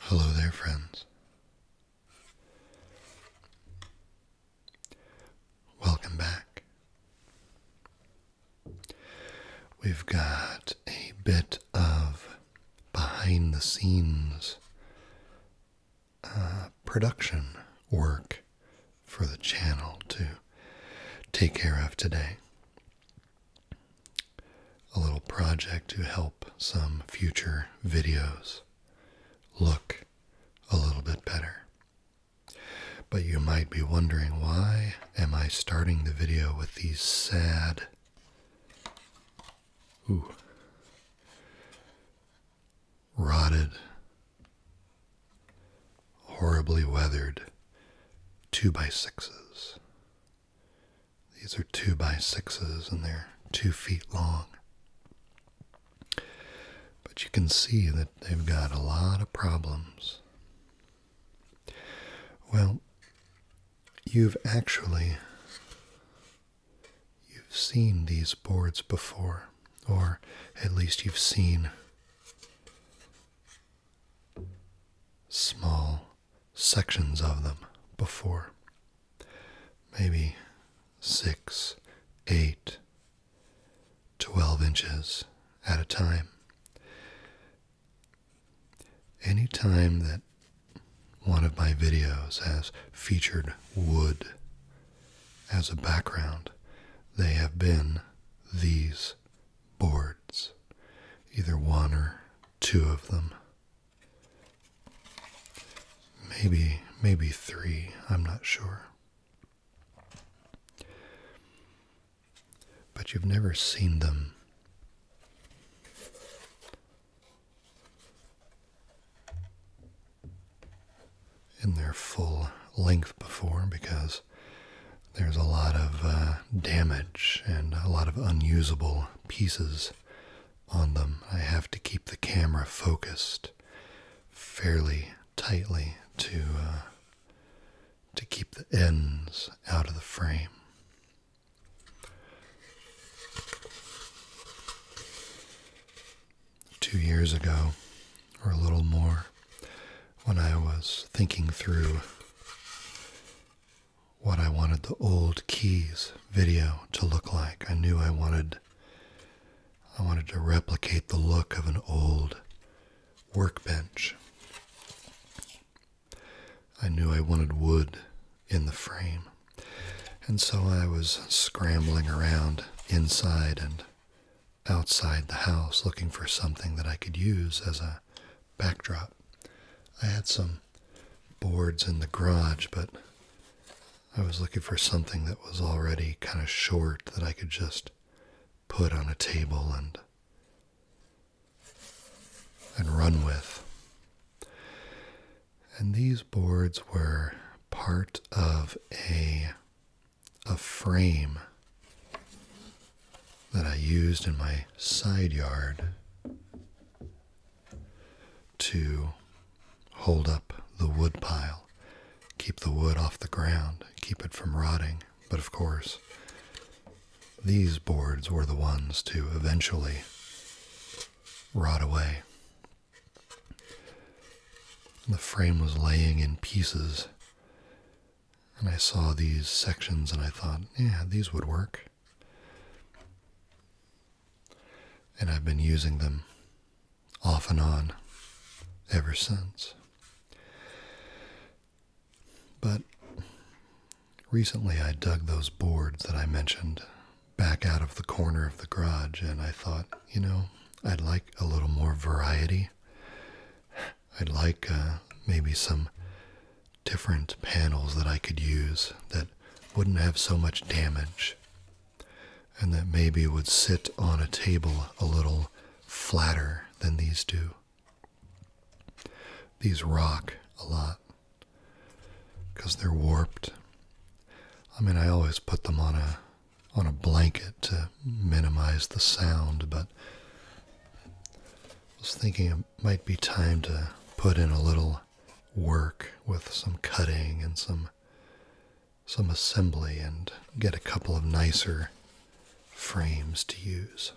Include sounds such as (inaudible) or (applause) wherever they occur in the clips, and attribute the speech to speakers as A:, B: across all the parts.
A: Hello there, friends. Welcome back. We've got a bit of behind the scenes uh, production work for the channel to take care of today. A little project to help some future videos look a little bit better. But you might be wondering why am I starting the video with these sad. Rotted, horribly weathered two by sixes. These are two by sixes and they're two feet long. But you can see that they've got a lot of problems. Well, you've actually you've seen these boards before, or at least you've seen small sections of them before. Maybe six, eight, 12 inches at a time. Anytime that one of my videos has featured wood as a background, they have been these boards, either one or two of them. Maybe, maybe three, I'm not sure but you've never seen them. In their full length before because there's a lot of uh, damage and a lot of unusable pieces on them. I have to keep the camera focused fairly tightly to uh, to keep the ends out of the frame. Two years ago, or a little more, when I was thinking through what I wanted the old keys video to look like, I knew I wanted I wanted to replicate the look of an old workbench. I knew I wanted wood in the frame, and so I was scrambling around inside and outside the house looking for something that I could use as a backdrop. I had some boards in the garage, but I was looking for something that was already kind of short that I could just put on a table and and run with. And these boards were part of a, a frame that I used in my side yard to hold up the wood pile, keep the wood off the ground, keep it from rotting. But of course, these boards were the ones to eventually rot away. The frame was laying in pieces, and I saw these sections and I thought, yeah, these would work. And I've been using them off and on ever since. But recently I dug those boards that I mentioned back out of the corner of the garage and I thought, you know, I'd like a little more variety. I'd like uh, maybe some different panels that I could use that wouldn't have so much damage and that maybe would sit on a table a little flatter than these do. These rock a lot because they're warped. I mean, I always put them on a on a blanket to minimize the sound, but I was thinking it might be time to put in a little work with some cutting and some some assembly and get a couple of nicer frames to use.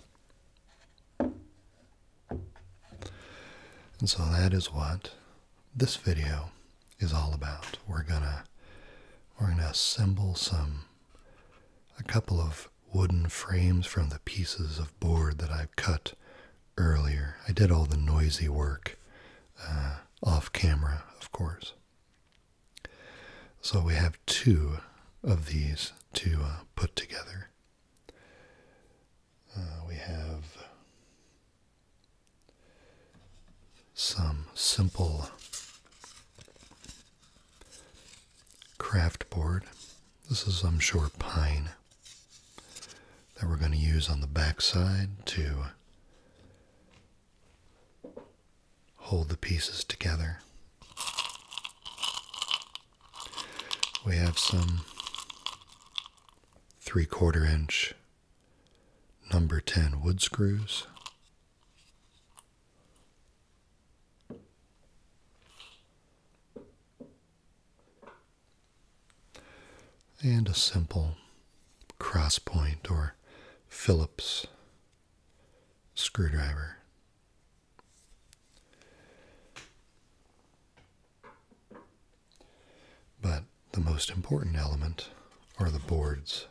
A: And so that is what this video is all about. We're gonna we're gonna assemble some a couple of wooden frames from the pieces of board that I've cut earlier. I did all the noisy work uh, off camera, of course. So we have two of these to uh, put together. Uh, we have some simple craft board. This is, I'm sure, pine that we're going to use on the back side to hold the pieces together. We have some three quarter inch number 10 wood screws. And a simple crosspoint or Phillips screwdriver. But the most important element are the boards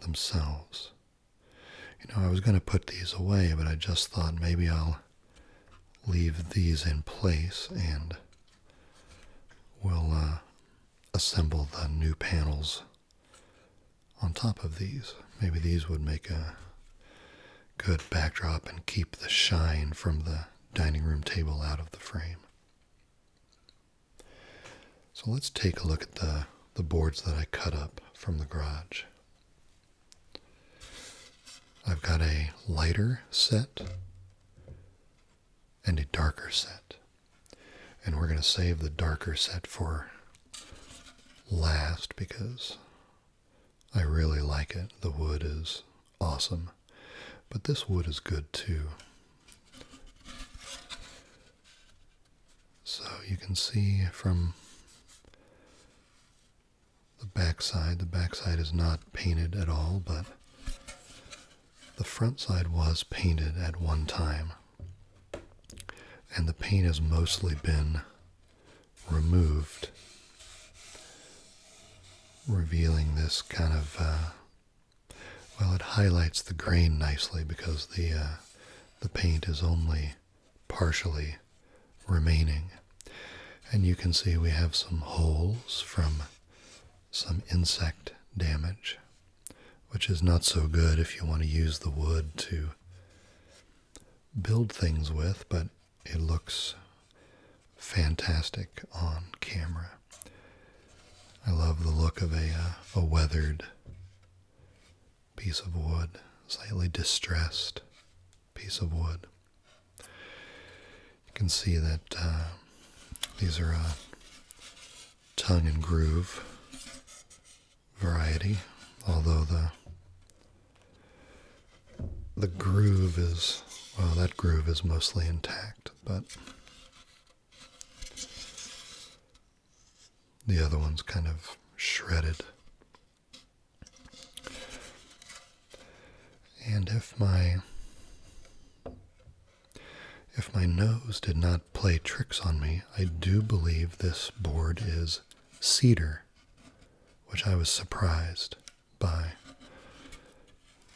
A: themselves. You know, I was going to put these away, but I just thought maybe I'll leave these in place and we'll uh, assemble the new panels on top of these. Maybe these would make a good backdrop and keep the shine from the dining room table out of the frame. So let's take a look at the, the boards that I cut up from the garage. I've got a lighter set and a darker set. And we're going to save the darker set for last because I really like it. The wood is awesome. But this wood is good too. So you can see from the backside, the backside is not painted at all, but the front side was painted at one time. And the paint has mostly been removed, revealing this kind of. Uh, well, it highlights the grain nicely because the uh, the paint is only partially remaining, and you can see we have some holes from some insect damage which is not so good if you want to use the wood to build things with, but it looks fantastic on camera. I love the look of a, uh, a weathered piece of wood, slightly distressed piece of wood. You can see that uh, these are uh, tongue and groove variety, although the the groove is well, that groove is mostly intact, but the other one's kind of shredded. And if my if my nose did not play tricks on me, I do believe this board is cedar, which I was surprised by.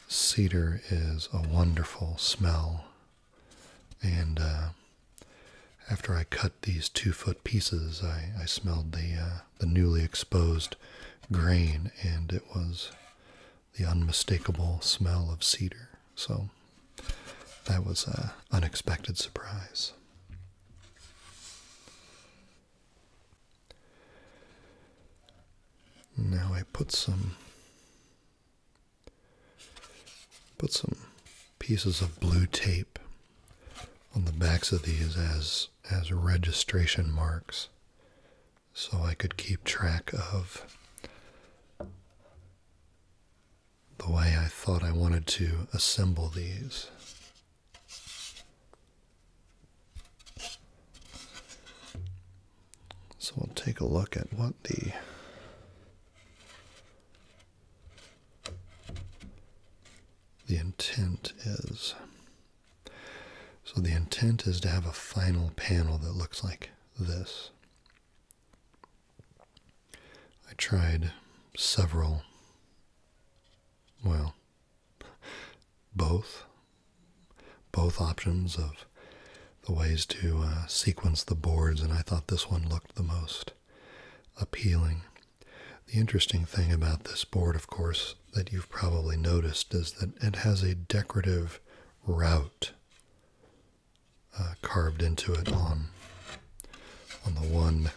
A: Cedar is a wonderful smell, and uh, after I cut these two foot pieces, I, I smelled the, uh, the newly exposed grain, and it was the unmistakable smell of cedar. So that was an unexpected surprise. Now I put some put some pieces of blue tape on the backs of these as as registration marks so I could keep track of the way I thought I wanted to assemble these. So we'll take a look at what the the intent is. So the intent is to have a final panel that looks like this. I tried several, well, both, both options of the ways to uh, sequence the boards, and I thought this one looked the most appealing. The interesting thing about this board, of course, that you've probably noticed is that it has a decorative route uh, carved into it on on the one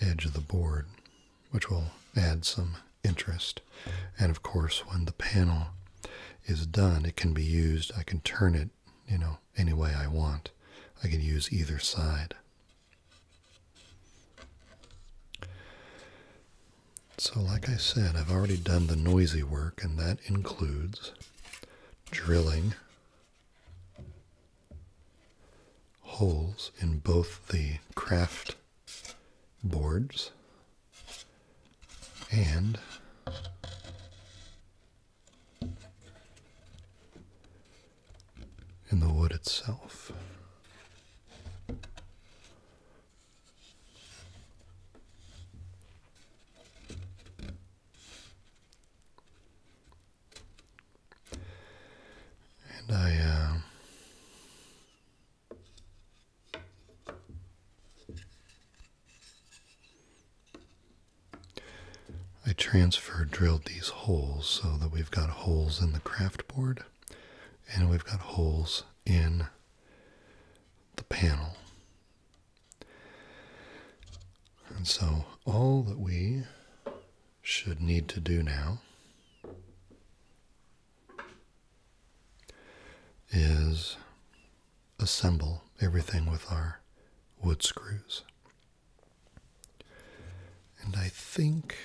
A: edge of the board, which will add some interest. And of course, when the panel is done, it can be used. I can turn it, you know, any way I want. I can use either side. So, like I said, I've already done the noisy work, and that includes drilling holes in both the craft boards and in the wood itself. And I, uh, I transfer drilled these holes so that we've got holes in the craft board and we've got holes in the panel. And so, all that we should need to do now is assemble everything with our wood screws. And I think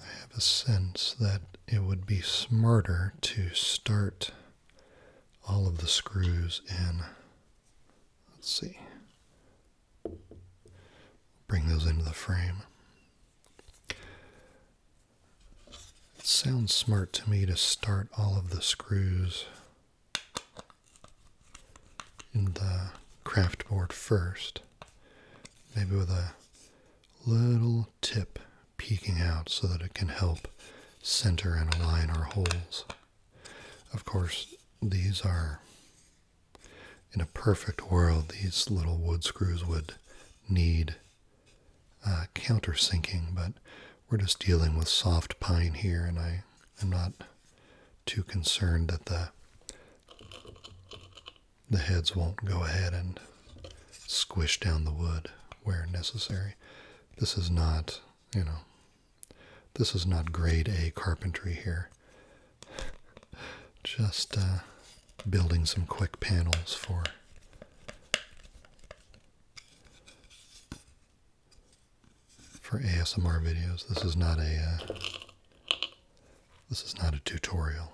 A: I have a sense that it would be smarter to start all of the screws in. Let's see. Bring those into the frame. It sounds smart to me to start all of the screws in the craft board first maybe with a little tip peeking out so that it can help center and align our holes. Of course, these are, in a perfect world, these little wood screws would need uh, countersinking, but we're just dealing with soft pine here, and I am not too concerned that the the heads won't go ahead and squish down the wood where necessary. This is not, you know, this is not grade A carpentry here. Just uh, building some quick panels for for ASMR videos. This is not a uh, this is not a tutorial.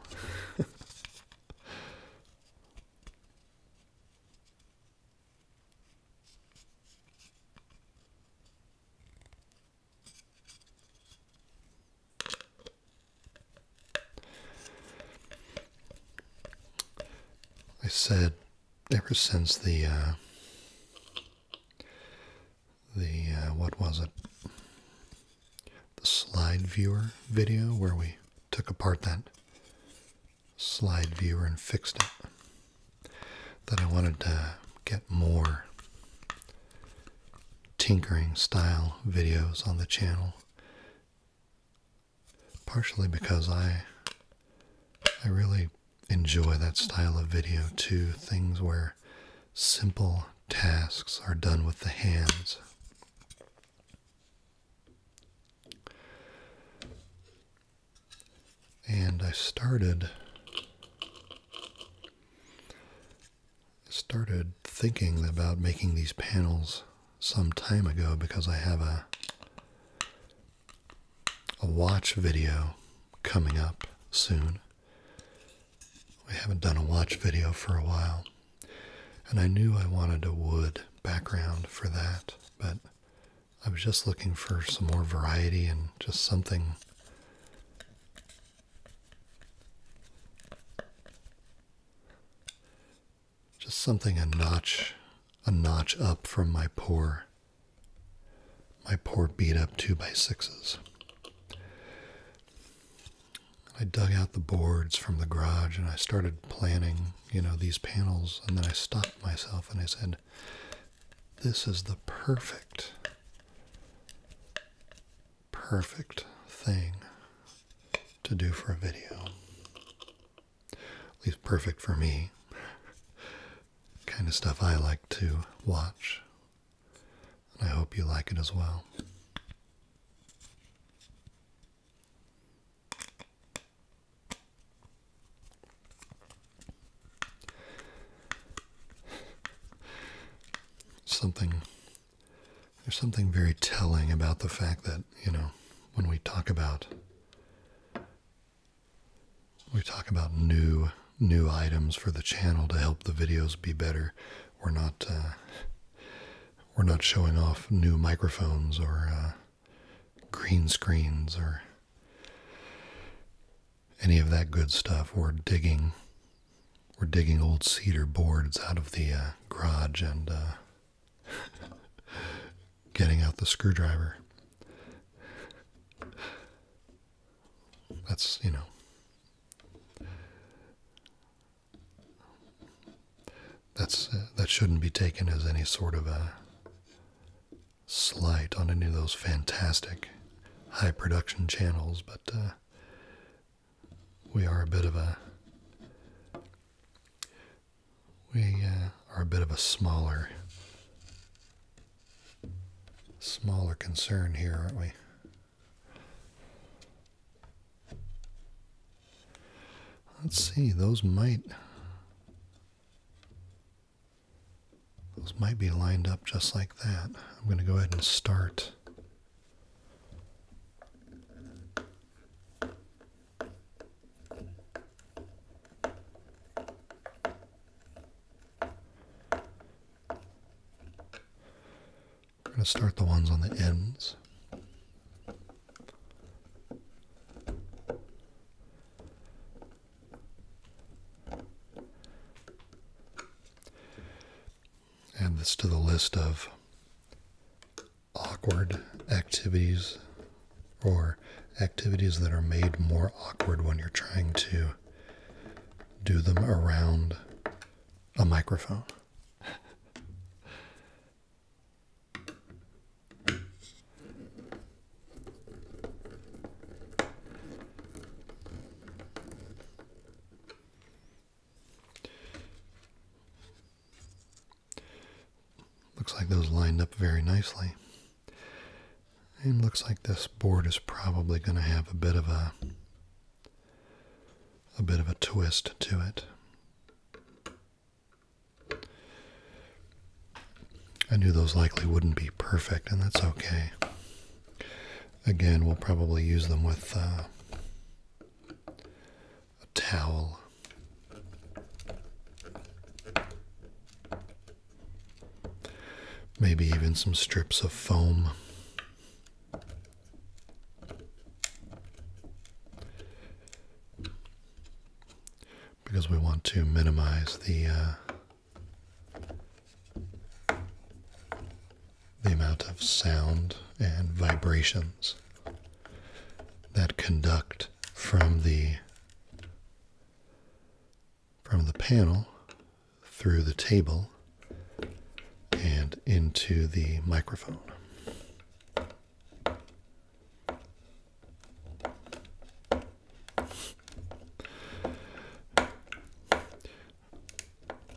A: I said ever since the uh, the uh, what was it? The slide viewer video where we took apart that slide viewer and fixed it. That I wanted to get more tinkering style videos on the channel. Partially because I I really enjoy that style of video too. Things where simple tasks are done with the hands. And I started started thinking about making these panels some time ago because I have a a watch video coming up soon. We haven't done a watch video for a while, and I knew I wanted a wood background for that, but I was just looking for some more variety and just something just something a notch a notch up from my poor my poor beat up 2 by 6s I dug out the boards from the garage and I started planning, you know, these panels. And then I stopped myself and I said, this is the perfect, perfect thing to do for a video. At least perfect for me. (laughs) kind of stuff I like to watch and I hope you like it as well. Something there's something very telling about the fact that, you know, when we talk about we talk about new new items for the channel to help the videos be better. We're not uh, we're not showing off new microphones or uh, green screens or any of that good stuff. We're digging we're digging old cedar boards out of the uh, garage and (laughs) getting out the screwdriver. That's you know that's uh, that shouldn't be taken as any sort of a slight on any of those fantastic high production channels, but uh, we are a bit of a we uh, are a bit of a smaller smaller concern here, aren't we? Let's see, those might those might be lined up just like that. I'm going to go ahead and start we're going to start the ones on the ends. Add this to the list of awkward activities or activities that are made more awkward when you're trying to do them around a microphone. Looks like those lined up very nicely. And looks like this board is probably going to have a bit of a a bit of a twist to it. I knew those likely wouldn't be perfect, and that's okay. Again, we'll probably use them with uh, a towel. Maybe even some strips of foam because we want to minimize the uh, the amount of sound and vibrations that conduct from the from the panel through the table and into the microphone.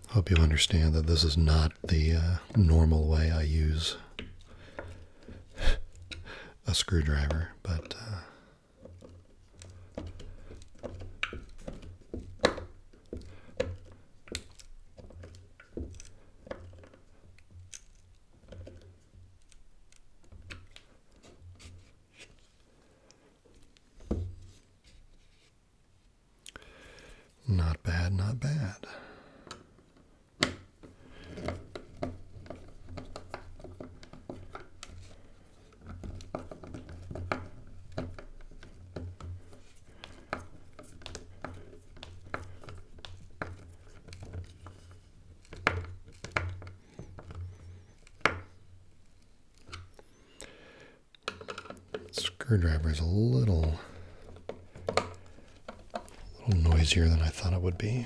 A: Hope you understand that this is not the uh, normal way I use (laughs) a screwdriver, but uh, not bad, not bad. Screwdriver is a little, a little noisier than I thought it would be.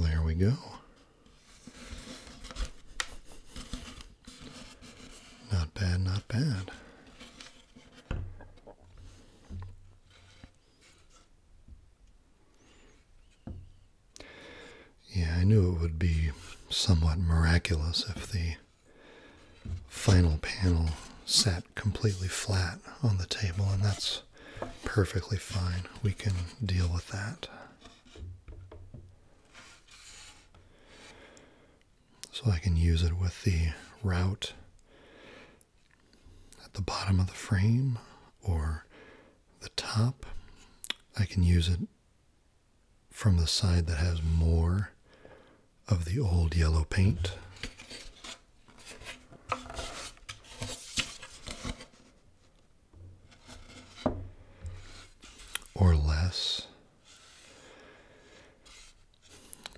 A: there we go. Not bad, not bad. Yeah, I knew it would be somewhat miraculous if the final panel sat completely flat on the table, and that's perfectly fine. We can deal with that. So I can use it with the route at the bottom of the frame or the top. I can use it from the side that has more of the old yellow paint. Or less.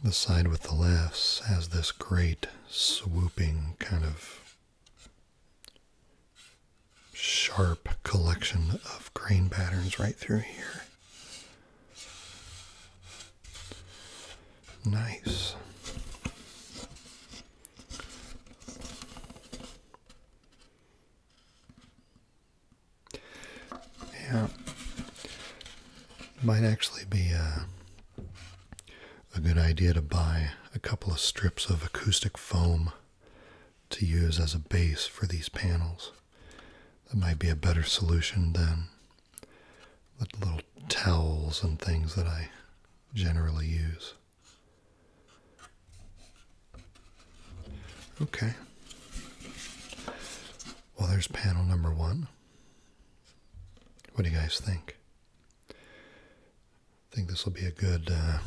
A: The side with the less has this great swooping kind of sharp collection of grain patterns right through here. Nice. Yeah. Might actually be a uh, a good idea to buy a couple of strips of acoustic foam to use as a base for these panels. That might be a better solution than the little towels and things that I generally use. Okay. Well, there's panel number one. What do you guys think? I think this will be a good uh,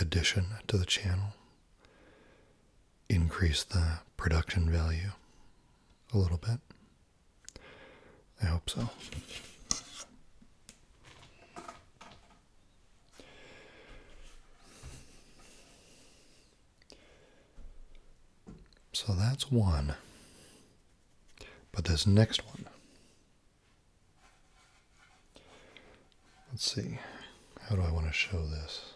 A: addition to the channel. Increase the production value a little bit. I hope so. So that's one. But this next one Let's see, how do I want to show this?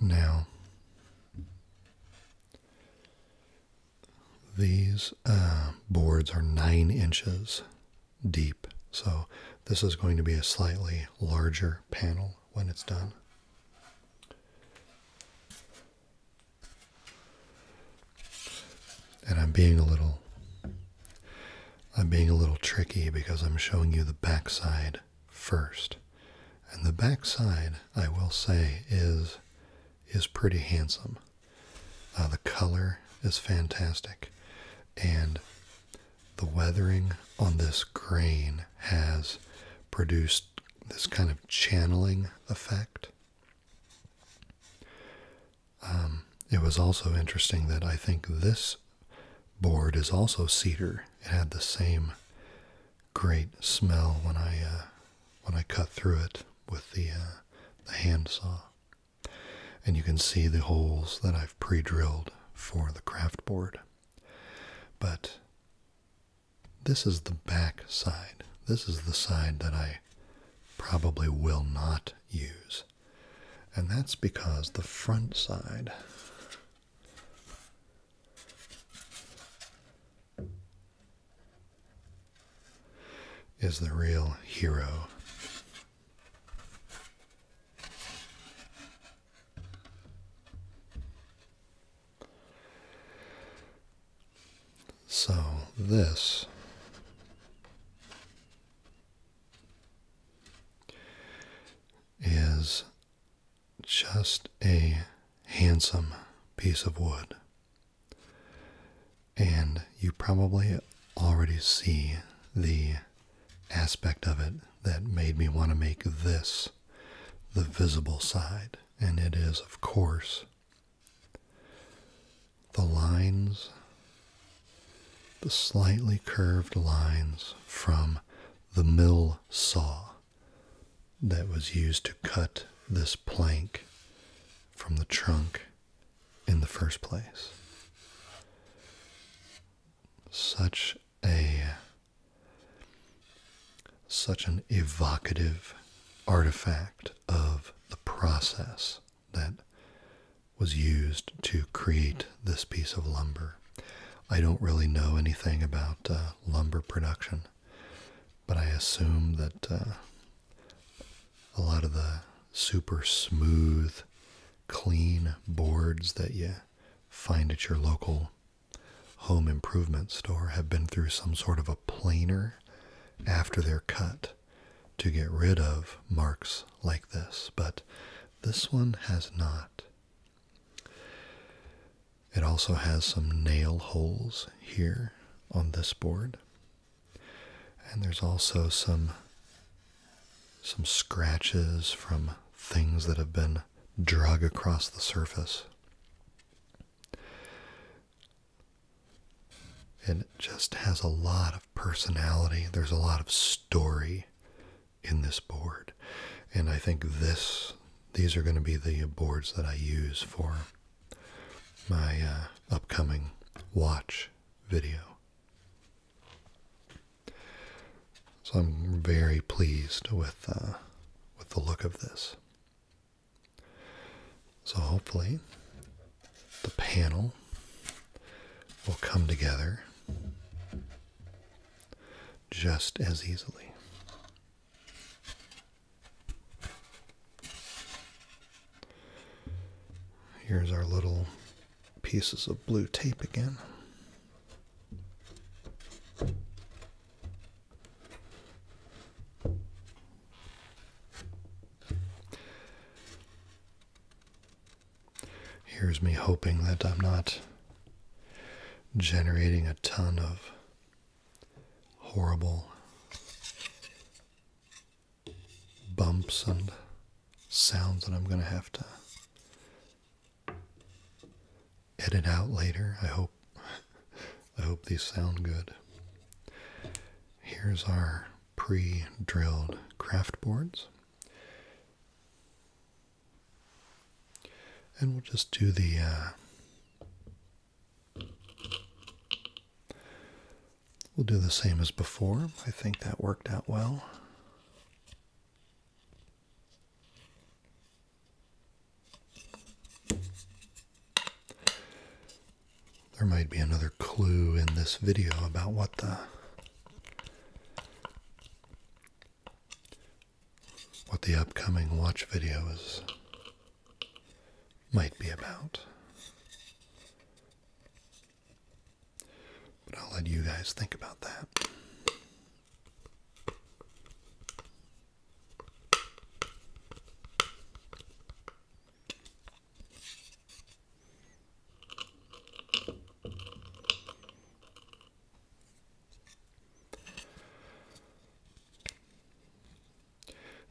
A: Now, these uh, boards are nine inches deep, so this is going to be a slightly larger panel when it's done. And I'm being a little I'm being a little tricky because I'm showing you the backside first. And the backside, I will say, is is pretty handsome. Uh, the color is fantastic, and the weathering on this grain has produced this kind of channeling effect. Um, it was also interesting that I think this board is also cedar. It had the same great smell when I uh, when I cut through it with uh, the handsaw, and you can see the holes that I've pre-drilled for the craft board. But this is the back side. This is the side that I probably will not use. And that's because the front side is the real hero. So this is just a handsome piece of wood. And you probably already see the aspect of it that made me want to make this the visible side. And it is, of course, the lines, the slightly curved lines from the mill saw that was used to cut this plank from the trunk in the first place. Such a such an evocative artifact of the process that was used to create this piece of lumber. I don't really know anything about uh, lumber production, but I assume that uh, a lot of the super smooth, clean boards that you find at your local home improvement store have been through some sort of a planer after they're cut to get rid of marks like this, but this one has not. It also has some nail holes here on this board. And there's also some some scratches from things that have been to drag across the surface. And it just has a lot of personality. There's a lot of story in this board. And I think this these are going to be the boards that I use for my uh, upcoming watch video. So I'm very pleased with uh, with the look of this. So hopefully the panel will come together just as easily. Here's our little pieces of blue tape again. Here's me hoping that I'm not generating a ton of horrible bumps and sounds that I'm going to have to edit out later. I hope I hope these sound good. Here's our pre-drilled craft boards. And we'll just do the uh, we'll do the same as before. I think that worked out well. There might be another clue in this video about what the what the upcoming watch video is might be about. But I'll let you guys think about that.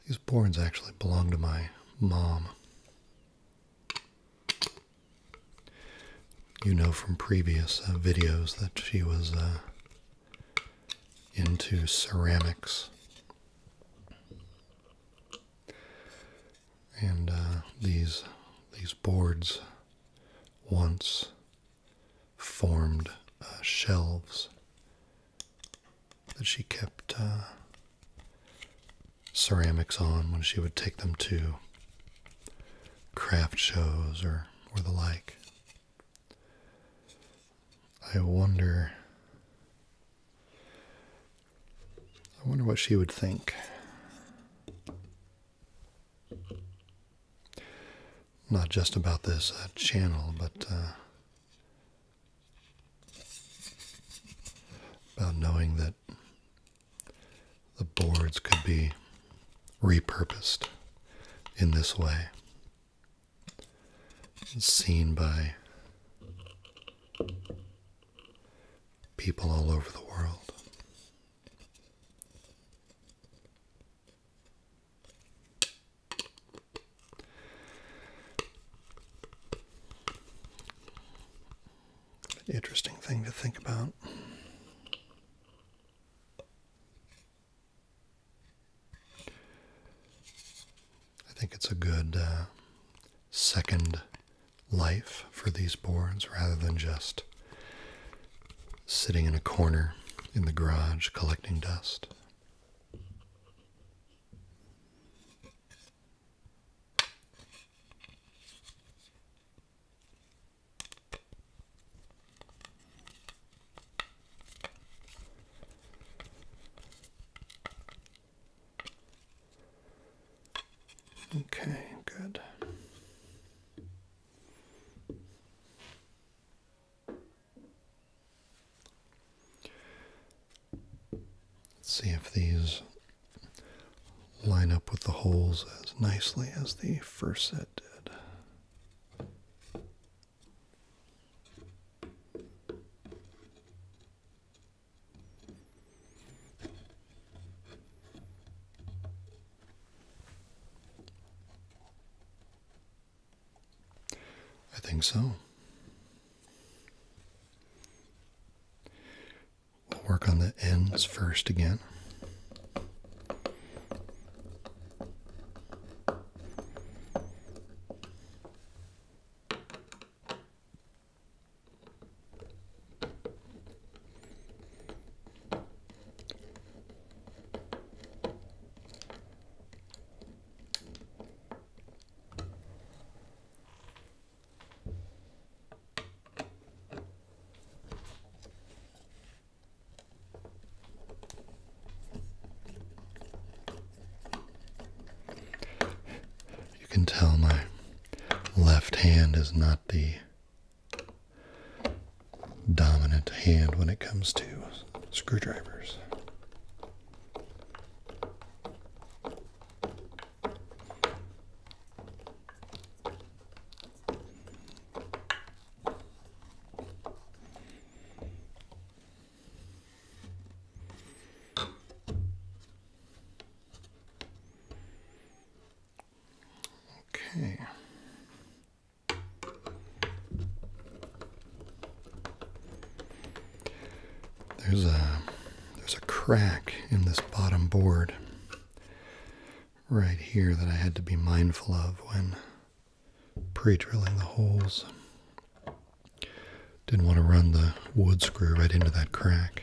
A: These boards actually belong to my mom. You know from previous uh, videos that she was uh, into ceramics. And uh, these these boards once formed shelves that she kept ceramics on when she would take them to craft shows or, or the like. I wonder. I wonder what she would think. Not just about this uh, channel, but uh, about knowing that the boards could be repurposed in this way. seen by people all over the world. interesting thing to think about. I think it's a good uh, second life for these boards rather than just sitting in a corner in the garage collecting dust. Okay, good. Let's see if these line up with the holes as nicely as the first set did. I think so. We'll work on the ends first again. You can tell my left hand is not the dominant hand when it comes to screwdrivers. Okay. There's a there's a crack in this bottom board right here that I had to be mindful of when pre-drilling the holes. Didn't want to run the wood screw right into that crack.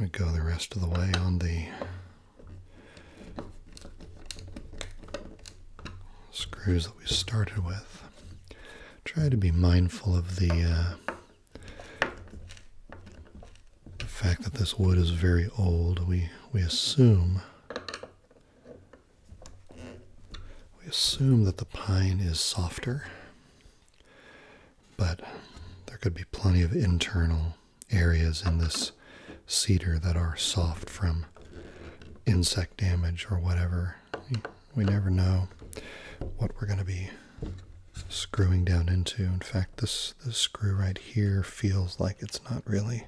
A: We go the rest of the way on the screws that we started with. Try to be mindful of the uh, the fact that this wood is very old, we, we assume we assume that the pine is softer, but there could be plenty of internal areas in this cedar that are soft from insect damage or whatever we never know what we're going to be screwing down into. In fact, this this screw right here feels like it's not really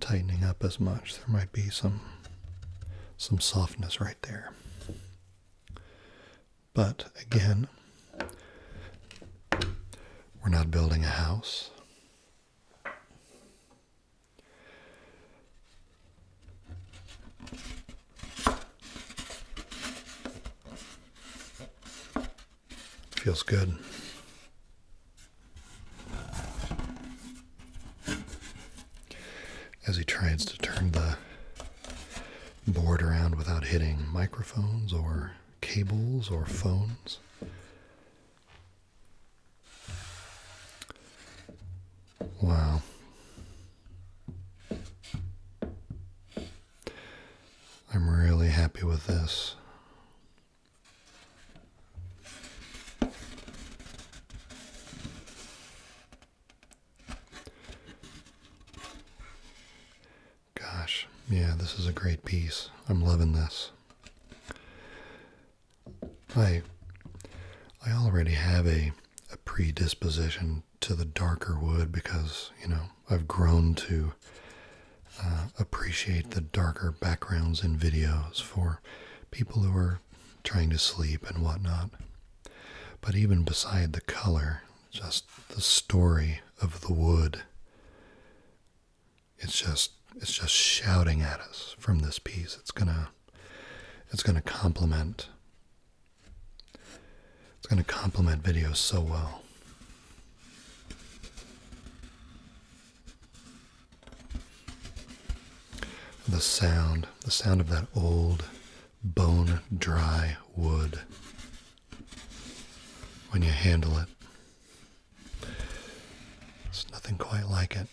A: tightening up as much. There might be some some softness right there. But again, we're not building a house. Feels good. As he tries to turn the board around without hitting microphones or cables or phones. Wow. I'm really happy with this. Gosh, yeah, this is a great piece. I'm loving this. I I already have a a predisposition to the darker wood because, you know, I've grown to uh, appreciate the darker backgrounds in videos for people who are trying to sleep and whatnot. But even beside the color, just the story of the wood. It's just it's just shouting at us from this piece. It's gonna it's going to complement. It's going to complement videos so well. The sound, the sound of that old bone dry wood when you handle it. It's nothing quite like it.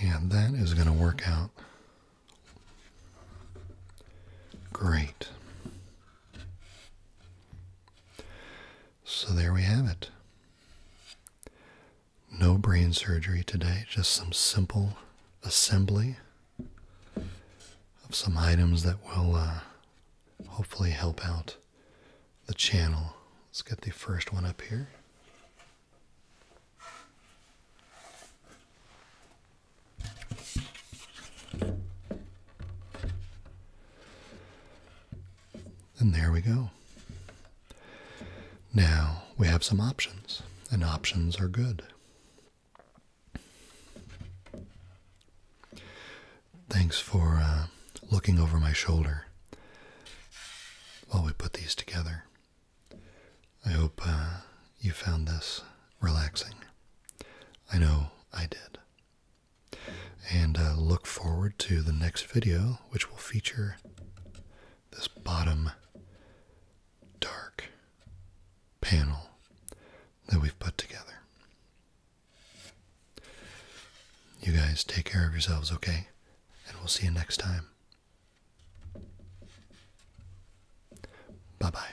A: And that is going to work out great. So there we have it. No brain surgery today, just some simple assembly of some items that will uh, hopefully help out the channel. Let's get the first one up here. And there we go. Now we have some options, and options are good. Thanks for uh, looking over my shoulder while we put these together. I hope uh, you found this relaxing. I know I did. And uh, look forward to the next video, which will feature this bottom dark panel that we've put together. You guys take care of yourselves, okay? And we'll see you next time. Bye bye.